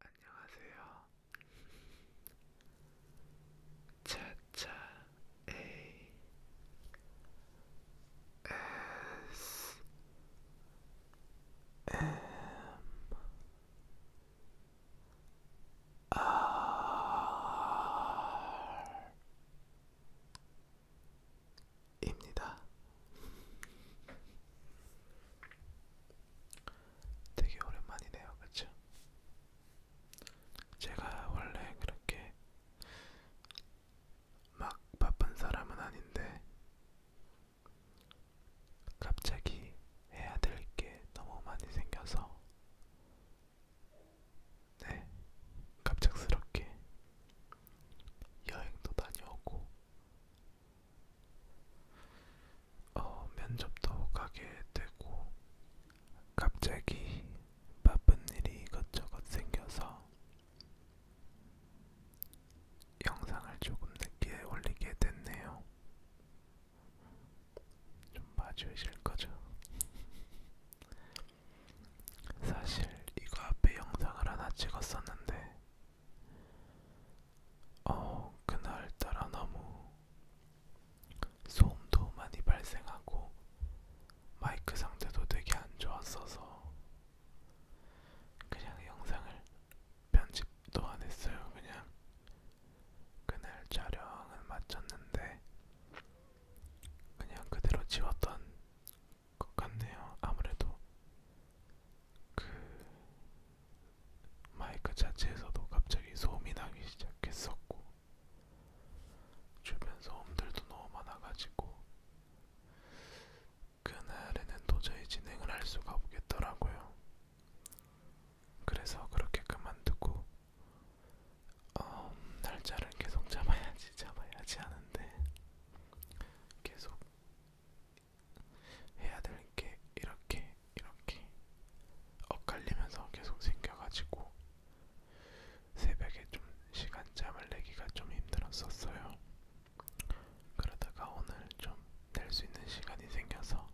안녕하세요. 차차 A S M R 입니다. 되게 오랜만이네요, 그쵸? 제가 원래 그렇게 막 바쁜 사람은 아닌데 갑자기 해야 될 게 너무 많이 생겨서 네 갑작스럽게 여행도 다녀오고 어, 면접도 가게 되고 갑자기 바쁜 일이 이것저것 생겨서 영상을 조금 늦게 올리게 됐네요. 좀 봐주실 거죠? 사실 이거 앞에 영상을 하나 찍었었는데 어, 그날따라 너무 소음도 많이 발생하고 마이크 상태도 되게 안 좋았어서 그냥 영상을 편집도 안 했어요. 그냥 그날 촬영은 마쳤는데 그냥 그대로 지웠던 것 같네요. 아무래도 그 마이크 자체에서도 갑자기 소음이 나기 시작했었고 주변 소음들도 너무 많아가지고 그날에는 도저히 진행을 할 수가 없겠더라고요. 그래서 그렇게 그만두고 어, 날짜를 계속 잡아야지 잡아야지 하는데 계속 해야 될 게 이렇게 이렇게 엇갈리면서 계속 생겨가지고 새벽에 좀 시간 잠을 내기가 좀 힘들었었어요. 그러다가 오늘 좀 낼 수 있는 시간이 생겨서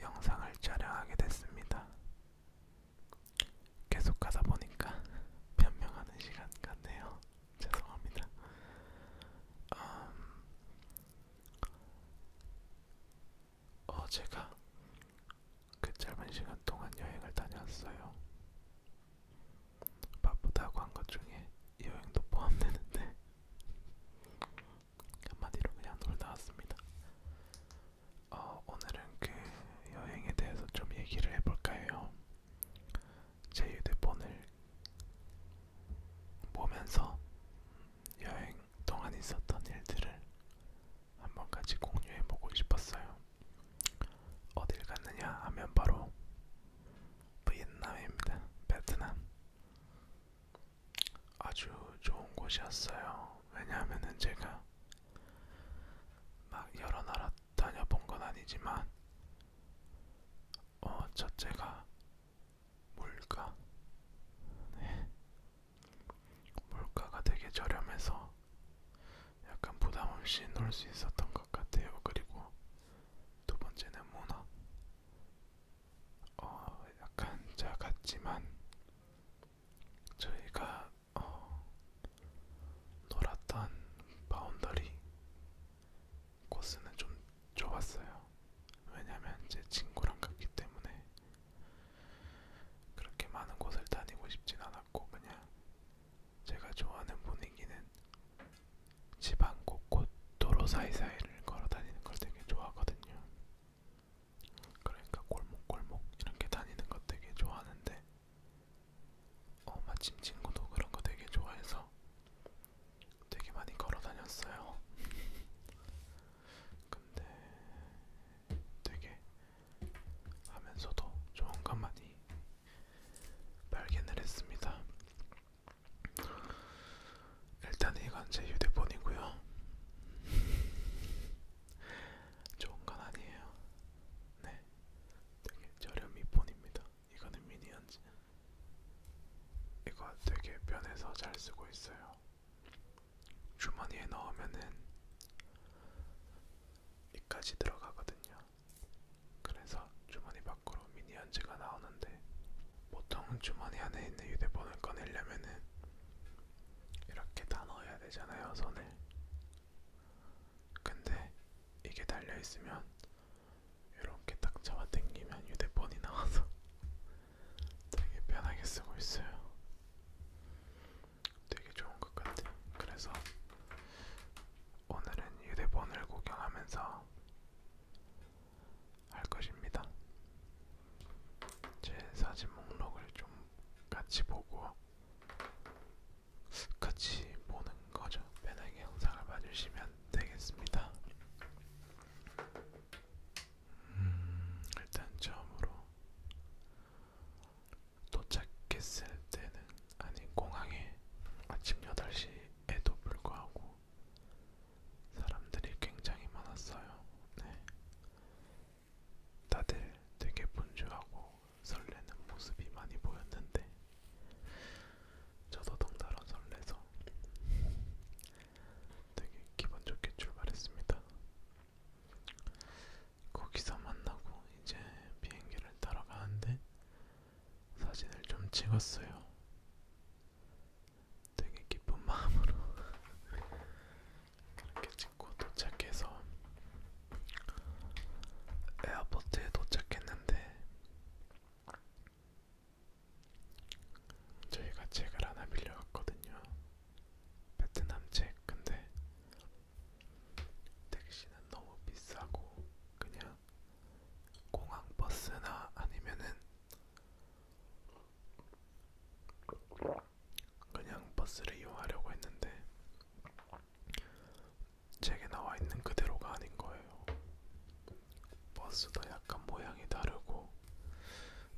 영상을 촬영하게 됐습니다. 계속 하다 보니까 변명하는 시간 같네요. 죄송합니다. 음, 어, 제가 그 짧은 시간 동안 여행을 다녀왔어요. 바쁘다고 한 것 중에 이 여행도 포함되는데 한마디로 그냥 놀다 왔습니다. 어, 오늘은 그 여행에 대해서 좀 얘기를 해볼까 해요. 제 휴대폰을 보면서 여행 동안 있었던 일들을 한번 같이 공유해 보고 싶었어요. 어딜 갔느냐 하면 바로 베트남입니다. 베트남 아주 좋은 곳이었어요. 왜냐하면은 제가 막 여러 나라 다녀본 건 아니지만 어 첫째가 물가 네. 물가가 되게 저렴해서 약간 부담없이 놀 수 있었던 것 같아요. 그리고 두 번째는 문화. 어, 약간 작았지만 저희가 어, 놀았던 바운더리 코스는 좀 좁았어요. 왜냐면 제 친구랑 갔기 때문에 그렇게 많은 곳을 다니고 싶진 않았고 그냥 제가 좋아하는 분위기는 지방 곳곳 도로 사이사이를 걸어 다니는 걸 되게 좋아하거든요. 그러니까 골목골목 이렇게 다니는 것 되게 좋아하는데 어 마침 친구도 그런 거 되게 좋아해서 되게 많이 걸어 다녔어요. 근데 되게 하면서도 좋은 것 많이 발견을 했습니다. 일단 이건 제 휴대폰이고요. 좋은 건 아니에요. 네, 되게 저렴이 폰입니다. 이거는 미니언즈. 이거 되게 편해서 잘 쓰고 있어요. 주머니에 넣으면은 이까지 들어가거든요. 그래서 주머니 밖으로 미니언즈가 나오는데 보통 주머니 안에 있는 휴대폰을 꺼내려면은 이렇게 다 넣어야 되잖아요, 손을. 근데 이게 달려 있으면 이렇게 딱 잡아당기면 휴대폰이 나와서 되게 편하게 쓰고 있어요. 되게 좋은 것 같아요. 그래서 오늘은 휴대폰을 구경하면서 할 것입니다. 제 사진 목록을 좀 같이 보고 같이 보는 거죠. 편하게 영상을 봐주시면 되겠습니다. 음, 일단 처음으로 도착했을 때는 아니 공항에 아침 8시에도 불구하고 사람들이 굉장히 많았어요. 네. 다들 되게 분주하고 설레는 모습이 많이 보였는데 저도 덩달아 설레서 되게 기분 좋게 출발했습니다. 거기서 만나고 이제 비행기를 타러 가는데 사진을 좀 찍었어요. 되게 기쁜 마음으로 그렇게 찍고 도착해서 에어포트에 도착했는데 저희가 책을 하나 빌려갔거든요. 베트남 책. 근데 택시는 너무 비싸고 그냥 공항 버스나 아니면은 그냥 버스를 이용하려고 했는데 책에 나와 있는 그대로가 아닌 거예요. 버스도 약간 모양이 다르고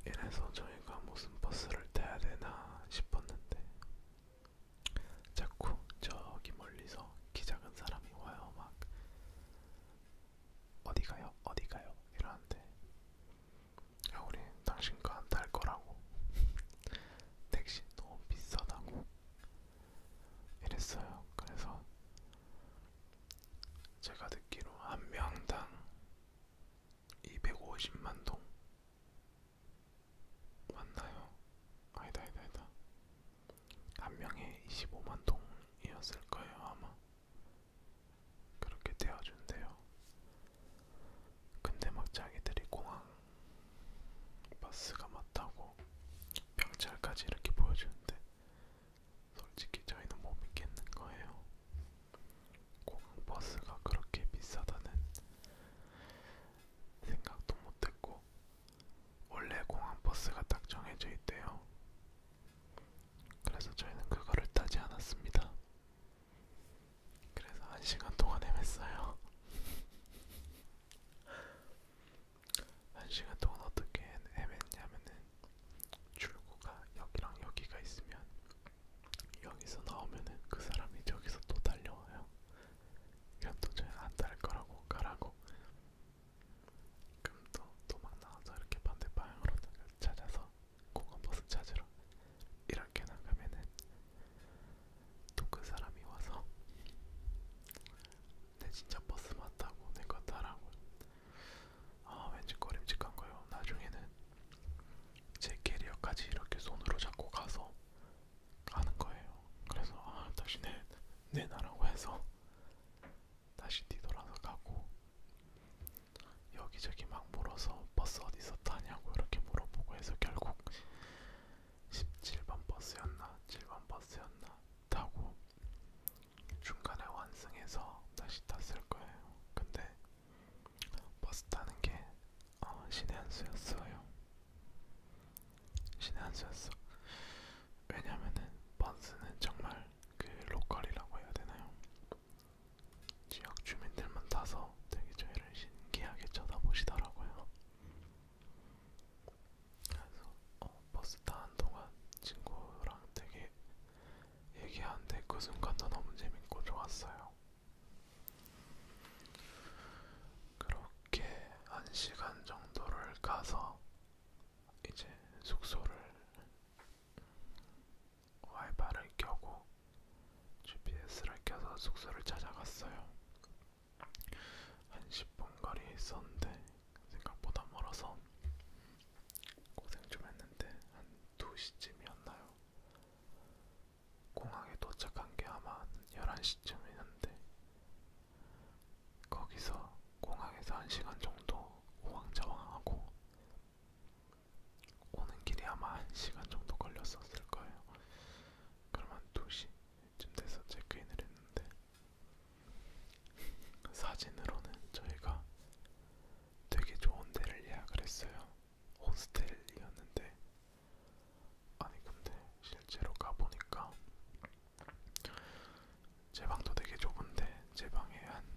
이래서 저희가 무슨 버스를 타야 되나 싶었는데 자꾸 저기 멀리서 키 작은 사람이 와요 막 어디 가요? 어디 가요? 이러는데 야 우리 당신 거안 탈 거라고 택시 너무 비싸다고 이랬어요. 그래서 제가 듣기로 한 명당 250만 동 맞나요? 아니다 아니다 아니다 한 명에 25만 동이었을 거예요 아마 그렇게 떼어준대요 근데 막 뭐 자기들이 공항 버스가 맞다고 병찰까지 이렇게 보여주는데 솔직히 저희는 못 믿겠는 거예요. 공항버스가 그렇게 비싸다는 생각도 못했고 원래 공항버스가 딱 정해져 있대요. 그래서 저희는 그거를 타지 않았습니다. 그래서 한 시간 동안 헤맸어요. 한 시간 동안 어떻게 헤맸냐면은 출구가 여기랑 여기가 있으면 여기서 나오면은 그 사람이 저기서 또 달려와요. 이건 도저히 안달 거라고 가라고. 그럼 또 도망 나와서 이렇게 반대 방향으로 찾아서 공항버스 찾으러 이렇게 나가면은 또 그 사람이 와서 내 진짜 버스 맞다고 내거 타라고 아, 왠지 꺼림직한 거예요. 나중에는 제 캐리어까지 이렇게 손으로 잡고 가서 가는 거예요. 그래서 아, 다시 내, 내 나라고 해서 다시 뒤돌아서 가고 여기저기 막 물어서 버스 어디서 타냐고 이렇게 물어보고 해서 결국 17번 버스였나 7번 버스였나 타고 중간에 완승해서 다시 탔을 거예요. 근데 버스 타는 게 어, 신의 한 수였어요. 신의 한 수였어. 왜냐면은 버스는 정말 그 로컬이라고 해야 되나요? 지역 주민들만 타서 되게 저희를 신기하게 쳐다보시더라고요. 그래서 어, 버스 타는 동안 친구랑 되게 얘기하는데 그 순간도 너무 재밌고 좋았어요. 그렇게 한 시간 정도를 가서 이제 숙소를 와이파이를 켜고 GPS를 켜서 숙소를 찾아갔어요. 한 10분 거리에 있었는데 생각보다 멀어서 고생 좀 했는데 한 2시쯤이었나요? 공항에 도착한 게 아마 11시쯤이었는데 거기서 공항에서 1시간 정도 우왕좌왕하고 오는 길이 아마 1시간 정도 걸렸었을 거예요. 그러면 2시쯤 돼서 체크인을 했는데 사진으로는 저희가 되게 좋은 데를 예약을 했어요. 호스텔이었는데 아니 근데 실제로 가보니까 제 방도 되게 좁은데 제 방에 한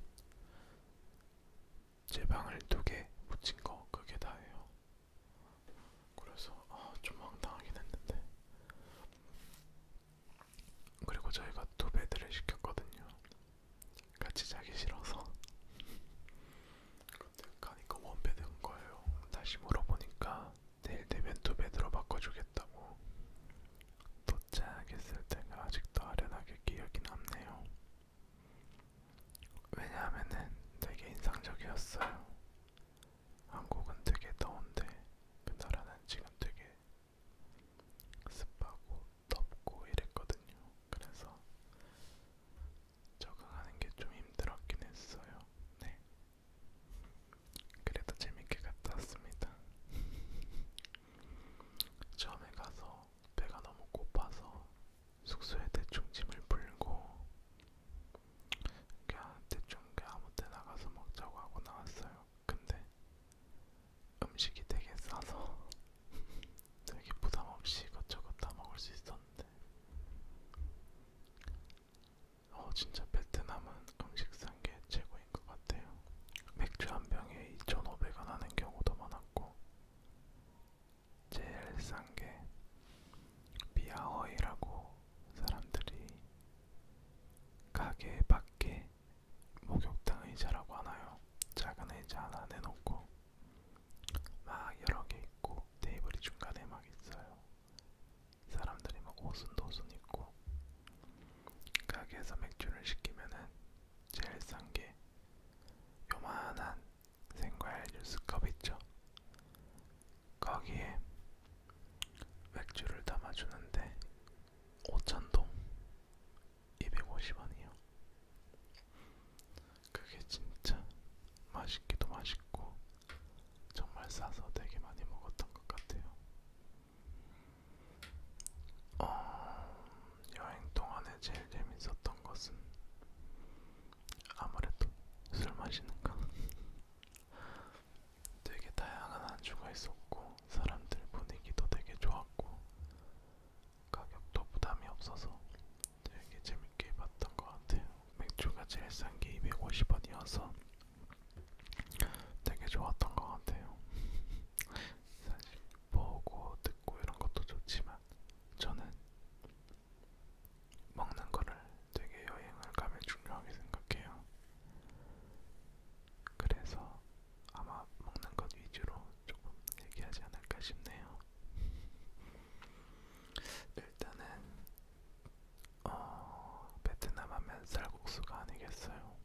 제 방을 두 개 붙인 거 그게 다예요. 그래서 아, 좀 황당하긴 했는데 그리고 저희가 두 배드를 시켰거든요. 같이 자기 싫어서. 근데 가니까 원 배드인 거예요. 다시 물어보니까 내일 되면 두 배드로 바꿔주겠다고. 도착했을 때가 아직도 아련하게 기억이 남네요. 왜냐하면은 되게 인상적이었어요. 한국은 되게 더운데 그 나라는 지금 되게 습하고 덥고 이랬거든요. 그래서 적응하는 게 좀 힘들었긴 했어요. 네. 그래도 재밌게 갔다 왔습니다. 처음에 가서 배가 너무 고파서 숙소에 대충 짐을 풀고 그냥 대충 그냥 아무 때 나가서 먹자고 하고 나왔어요. 근데 음식이 되게 싸서 되게 부담 없이 이것저것 다 먹을 수 있었는데, 어 진짜 베트남은 음식 산게 최고인 것 같아요. 맥주 한 병에 2,500원 하는 경우도 많았고, 제일 싼 게 비아허이라고 사람들이 가게 밖에 목욕탕 의자라고 하나요? 작은 의자 하나 내놓고 막 여러 개 있고 테이블이 중간에 막 있어요. 사람들이 막 오순도순 있고 가게에서 맥주를 시키면은 제일 싼 게 요만한 생과일 주스컵 있죠. 거기에 맥주를 담아주는데 5천동 250원이요. 그게 진짜 맛있기도 맛있고 정말 싸서 되게 많이 먹었던 것 같아요. 어, 여행 동안에 제일 재밌었던 것은 아무래도 술 마시는 거. 되게 다양한 안주가 있었고 사람들 분위기도 되게 좋았고 가격도 부담이 없어서 되게 재밌게 봤던 것 같아요. 맥주가 제일 싼게 250원이어서 되게 좋았던 것 같아요. 사실 보고 듣고 이런 것도 좋지만 저는 먹는 거를 되게 여행을 가면 중요하게 생각해요. 그래서 아마 먹는 것 위주로 조금 얘기하지 않을까 싶네요. 일단은 어, 베트남 하면 쌀국수가 아니겠어요.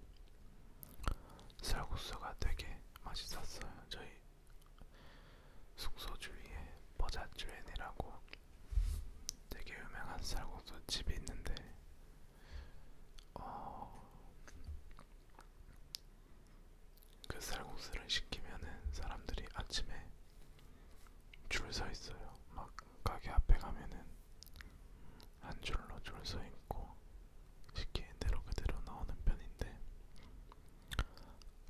쌀국수가 되게 맛있었어요. 저희 숙소 주위에 버자주엔이라고 되게 유명한 쌀국수 집이 있는데 어, 그 쌀국수를 시키면은 사람들이 아침에 줄 서 있어요. 막 가게 앞에 가면은 한 줄로 줄 서 있고 시키는 대로 그대로 나오는 편인데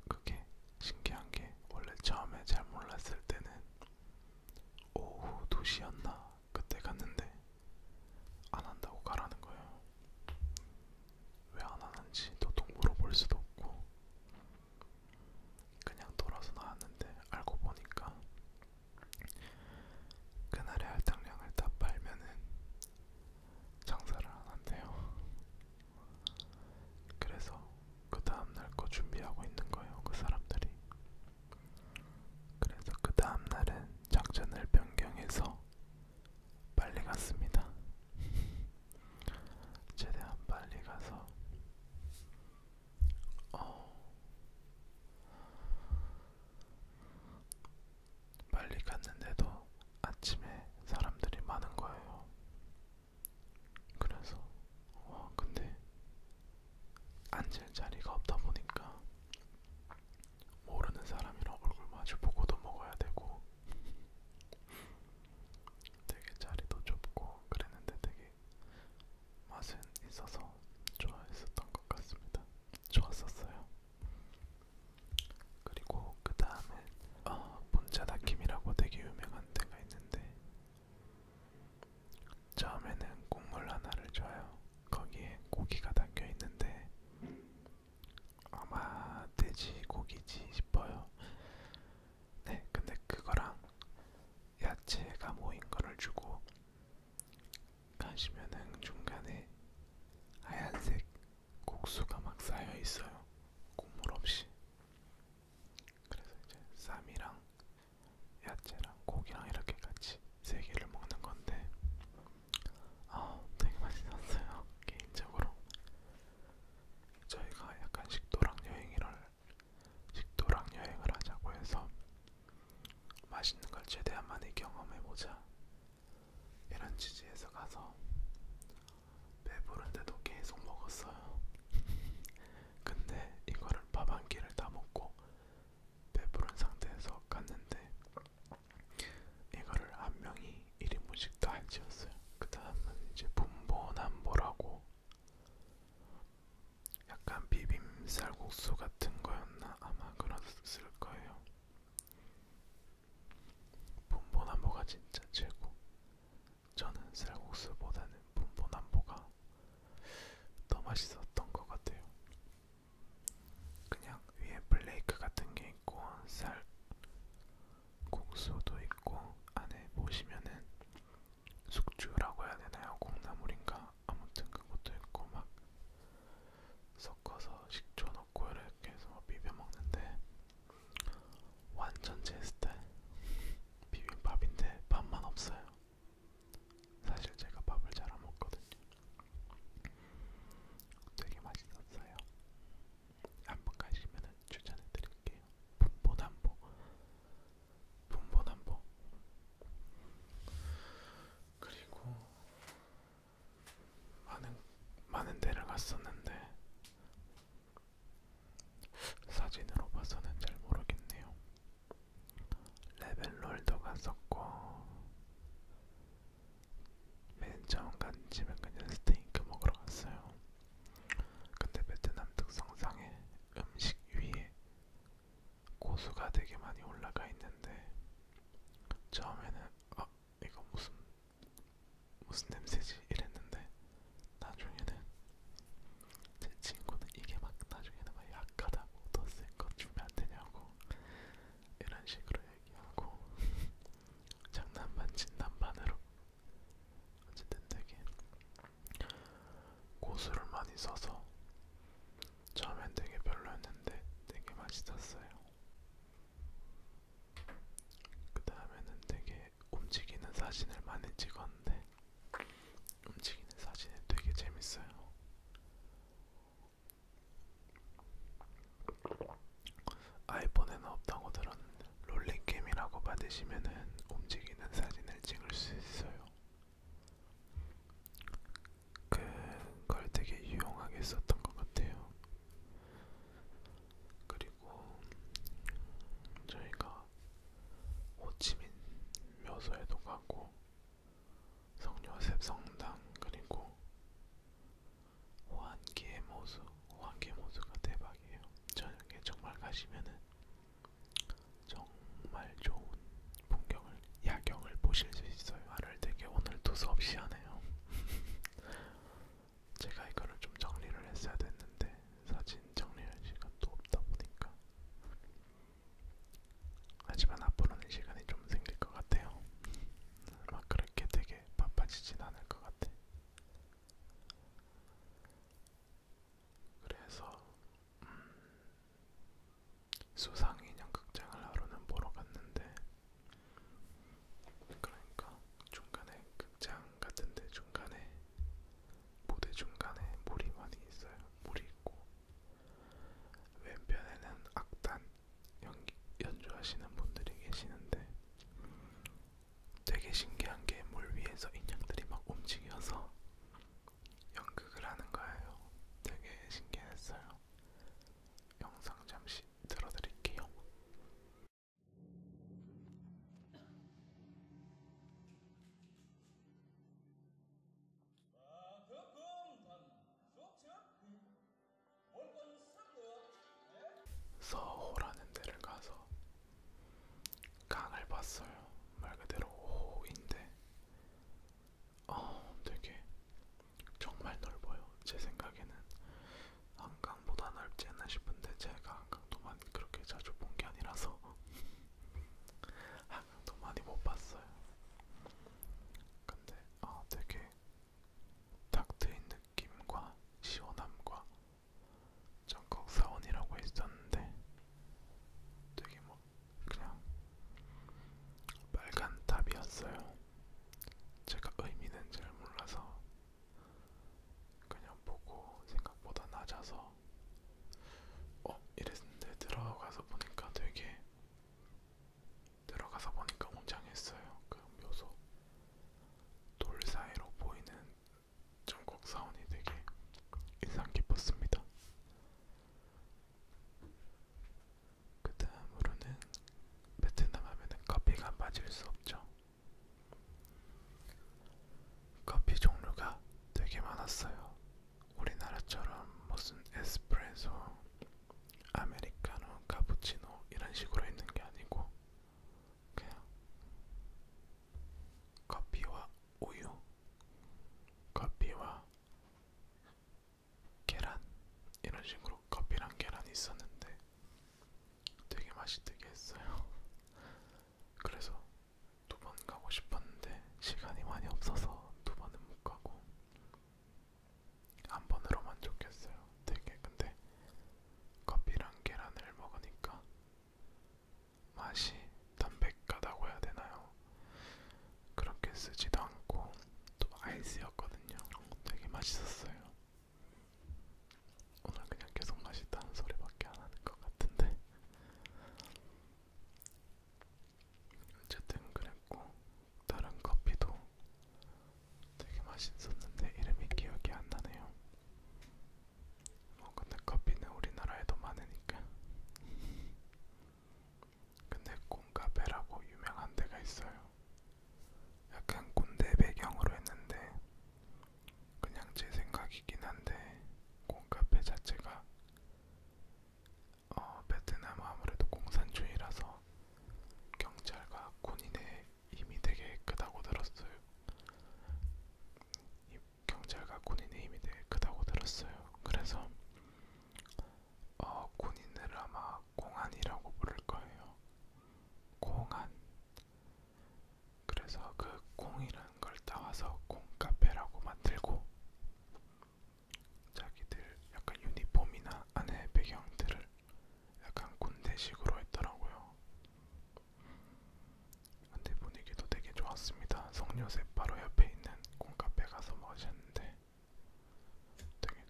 그게 신기한 게 원래 처음에 잘 몰랐을 때는 오후 2시였나 그때 갔는데 안 한다고 가라는 거예요. 왜 안 하는지 도통 물어볼 수도 없고 그냥 돌아서 나왔는데 알고 보니까 그날의 할당량을 다 빨면은 장사를 안 한대요. 그래서 그 다음날 거 준비하고 있는 거예요. 그 사람들이 그래서 그 다음 날은 작전을 변경해서 빨리 갔습니다. 최대한 빨리 가서 어... 빨리 갔는데도 아침에 사람들이 많은 거예요. 그래서 와 근데 앉을 자리가 없다 보니까 모르는 사람이랑 얼굴 마주 보고도 먹어야 되고 되게 자리도 좁고 그랬는데 되게 맛은 있어서 좋아했었던 것 같습니다. 좋았었어요. 그리고 그 다음에 어, 본자다김이라고 되게 유명한 데가 있는데 처음에는 국물 하나를 줘요. 거기에 고기가 담겨 있는데 아마 돼지고기지 싶어요. 네, 근데 그거랑 야채가 모인 거를 주고 가시면은 중간에 하얀색 국수가 막 쌓여 있어요. 국물 없이. 그래서 이제 쌈이랑 야채랑 고기랑 이렇게 같이 세 개를 먹는 건데 아, 되게 맛있었어요. 개인적으로 저희가 약간 식도락 여행을 식도락 여행을 하자고 해서 맛있는 걸 최대한 많이 경험해보자 이런 취지에서 가서 배부른데도 계속 먹었어요. 근데 이거를 밥한 끼를 다 먹고 배부른 상태에서 갔는데 이거를 한 명이 1인분씩 다 지었어요. 그 다음은 이제 분보남보라고 약간 비빔 쌀국수 같은 거였나 아마 그랬을 거예요. 분보남보가 진짜 최고. 저는 쌀국수보다는 분보남보가 더 맛있었던 것 같아요. 그냥 위에 플레이크 같은 게 있고 쌀 국수도 있고 안에 보시면은 숙주라고 해야 되나요? 콩나물인가? 아무튼 그것도 있고 막 섞어서 식초 넣고 이렇게 해서 비벼 먹는데 완전 제 스타일 비빔밥인데 밥만 없어요. 사실 제가 밥을 잘 안 먹거든요. 되게 맛있었어요. 한번 가시면은 추천해드릴게요. 분보담보, 분보담보. 그리고 많은 많은 데를 갔었는데 사진으로 봐서는 잘 모르겠네요. 레벨롤도 갔었고 맨 처음 간 집은 그냥 스테이크 먹으러 갔어요. 근데 베트남 특성상의 음식 위에 고수가 되게 많이 올라가 있는데 처음에는 아 이거 무슨 무슨 냄새지 이랬는데 나중에는 제 친구는 이게 막 나중에는 막 약하다고 더센것 주면 안 되냐고 이런 식으로 얘기하고 장난반 진단반으로 어쨌든 되게 고수를 많이 써서 처음엔 되게 별로였는데 되게 맛있었어요. 그 다음에는 되게 움직이는 사진을 많이 찍었는데 움직이는 사진이 되게 재밌어요. 아이폰에는 없다고 들었는데 롤링캠이라고 받으시면은 움직이는 사진을 찍을 수 있어요. 그걸 되게 유용하게 썼던 것 같아요. 그리고 저희가 호치민 묘소에도 가고 성요셉 성당 그리고 호안기의 모수 호안기의 모수가 대박이에요. 저녁에 정말 가시면은 정말 좋은 풍경을 야경을 보실 수 있어요. 말을 되게 오늘도 수없이 하네요. 제가 이거를 좀 정리를 했어야 됐는데 사진 정리할 시간 도 없다 보니까 하지만 앞으로는 시간이 좀 생길 것 같아요. 막 그렇게 되게 바빠지진 않을 것 같아. 그래서 음, 수상인형 극장을 하루는 보러 갔는데 그러니까 중간에 극장 같은데 중간에 무대 중간에 물이 많이 있어요. 물이 있고 왼편에는 악단 연기, 연주하시는 분들이 계시는데 되게 신기한 게 물 위에서 인형들이 막 움직여서 연극을 하는 거예요. 되게 신기했어요. 영상 잠시 들어드릴게요. 아, 서호라는 데를 가서 강을 봤어요. 말 그대로 호인데 어, 되게 정말 넓어요. 제 생각에는 한강보다 넓지 않나 싶은데 제가 한강도만 그렇게 자주 본 게 아니라서 한강도 많이 못 봤어요. 근데 어, 되게 탁 트인 느낌과 시원함과 전국 사원이라고 했었는데 되게 뭐 그냥 빨간 탑이었어요. 제가 의미는 잘 몰라서 그냥 보고 생각보다 낮아서 어 이랬는데 들어가서 보니까 되게 들어가서 보니까 웅장했어요. 그 묘소 돌 사이로 보이는 전국 사원이 되게 인상 깊었습니다. 그 다음으로는 베트남 하면은 커피가 빠질 수 없죠. 커피 종류가 되게 많았어요. 우리나라처럼 무슨 에스프레소, 아메리카노, 카푸치노 이런 식으로 있는 게 아니고 그냥 커피와 우유, 커피와 계란 이런 식으로 커피랑 계란이 있었는데 되게 맛있게 했어요. 그래서 두 번 가고 싶었는데 시간이 많이 없어서 두 번은 못 가고 한 번으로 만족했어요. 되게 근데 커피랑 계란을 먹으니까 맛이 담백하다고 해야 되나요? 그렇게 쓰지도 않고 또 아이스였거든요. 되게 맛있었어요. 오늘 그냥 계속 맛있다는 소리밖에 안 하는 것 같은데 어쨌든 그랬고 다른 커피도 되게 맛있었는데 이름이 기억이 안 나네요. 뭐 근데 커피는 우리나라에도 많으니까. 근데 꼰카페라고 유명한 데가 있어요. 약간 군대 배경으로 했는데 그냥 제 생각이긴 한데 꼰카페 자체가 어, 베트남 아무래도 공산주의라서 경찰과 군인의 힘이 되게 크다고 들었어요. 경찰과 군인의 힘이 되게 크다고 들었어요. 그래서 어, 군인을 아마 공안이라고 부를 거예요. 공안. 그래서 그 공이라는 걸 따와서 공카페라고 만들고 자기들 약간 유니폼이나 안에 배경들을 약간 군대식으로 했더라고요. 근데 분위기도 되게 좋았습니다. 성녀세 바로 옆에 있는 콩카페 가서 마셨는데 되게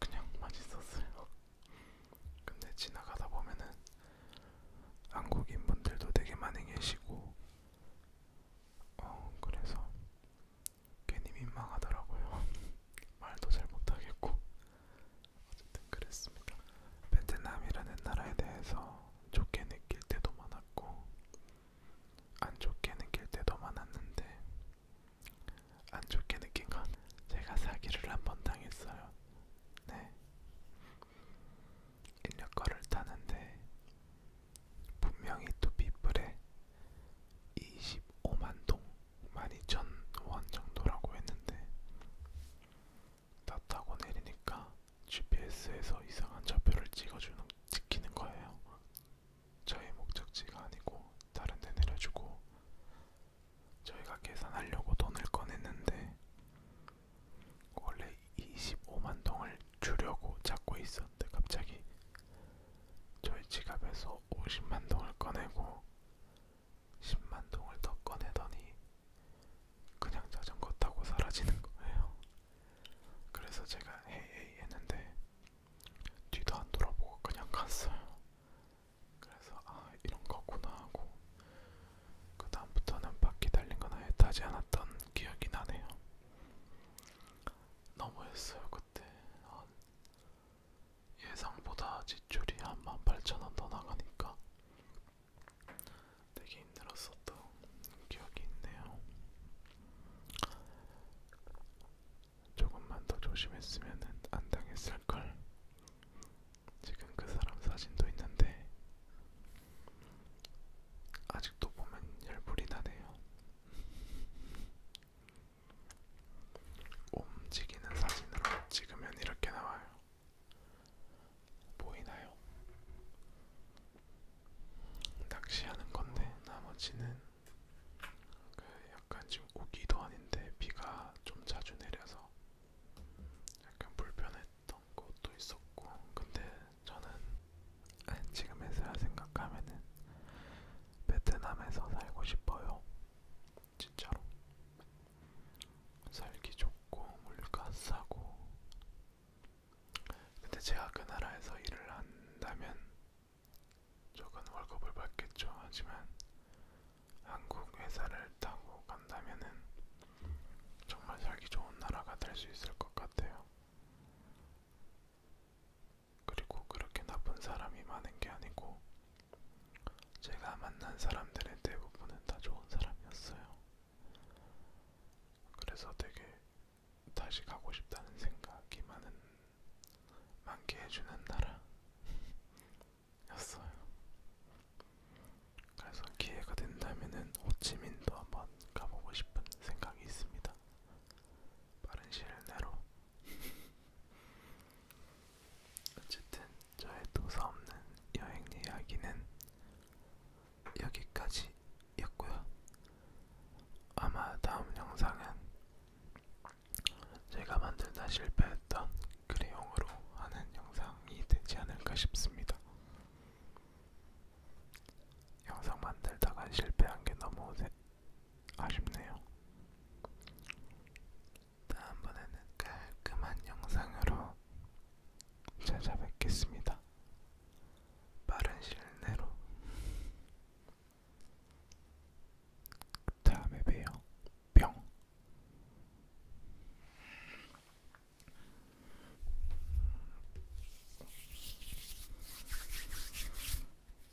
그냥 맛있었어요. 근데 지나가다 보면은 한국인 분들도 되게 많이 계시고, 어, 그래서 괜히 민망하더라고요. 말도 잘 못하겠고 어쨌든 그랬습니다. 베트남이라는 나라에 대해서 좋게 느낄 때도 많았고 안 좋게 느낄 때도 많았는데 안 좋게 느낀 건 제가 사기를 한 번 당했어요. 네. 인력거를 타는데 분명히 또 빗불에 25만동 12,000원 정도라고 했는데 다 타고 내리니까 GPS에서 이상한 좌표를 찍어주는 찍히는 거예요. 저희 목적지가 아니고 다른 데 내려주고 저희가 계산하려고 돈을 꺼냈는데 원래 25만 동을 주려고 잡고 있어 있었는데 갑자기 저희 지갑에서 50만 동을 꺼내고 10만 동을 더 꺼내더니 그냥 자전거 타고 사라지는 거예요. 그래서 제가 헤이헤이 했는데 뒤도 안 돌아보고 그냥 갔어요. 그래서 아 이런 거구나 하고 그 다음부터는 바퀴 달린 건 아예 타지 않았던 기억이 나네요. 너무했어요 그때. 아, 예상보다 지출이 한 18,000원 더 나가니까 되게 힘들었었던 기억이 있네요. 조금만 더 조심했으면 안 당했을걸. 지금 그 사람 사진도 있는데 아직도 보면 열불이 나네요. 움직이는 사진으로 찍으면 이렇게 나와요. 보이나요? 낚시하는 건데 나머지는 그 약간 지금 오기도 아닌데 비가 좀 자주 내려서 약간 불편했던 것도 있었고 근데 저는 지금에서야 생각하면은 베트남에서 살고 싶어요. 진짜로. 살기 좋고 물가 싸고. 근데 제가 그 나라에서 일을 한다면 적은 월급을 받겠죠. 하지만 한국 회사를 타고 간다면은 정말 살기 좋은 나라가 될 수 있을 것 같아요. 그리고 그렇게 나쁜 사람이 많은 게 아니고 제가 만난 사람들의 대부분은 다 좋은 사람이었어요. 그래서 되게 다시 가고 싶다는 생각이 많은 많게 해주는 나라였어요. 그래서 기회가 된다면은 호치민도 한번 가보고 싶은 생각이 있습니다. 빠른 시일 내로 어쨌든 저의 도서 없는 여행 이야기는 여기까지였고요. 아마 다음 영상은 제가 만들다 실패했던 그레용으로 하는 영상이 되지 않을까 싶습니다. 영상 만들다가 실패한 게 너무 아쉽네요. 다음번에는 깔끔한 영상으로 찾아뵙겠습니다. 빠른 시간 내로. 다음에 봬요. 뿅.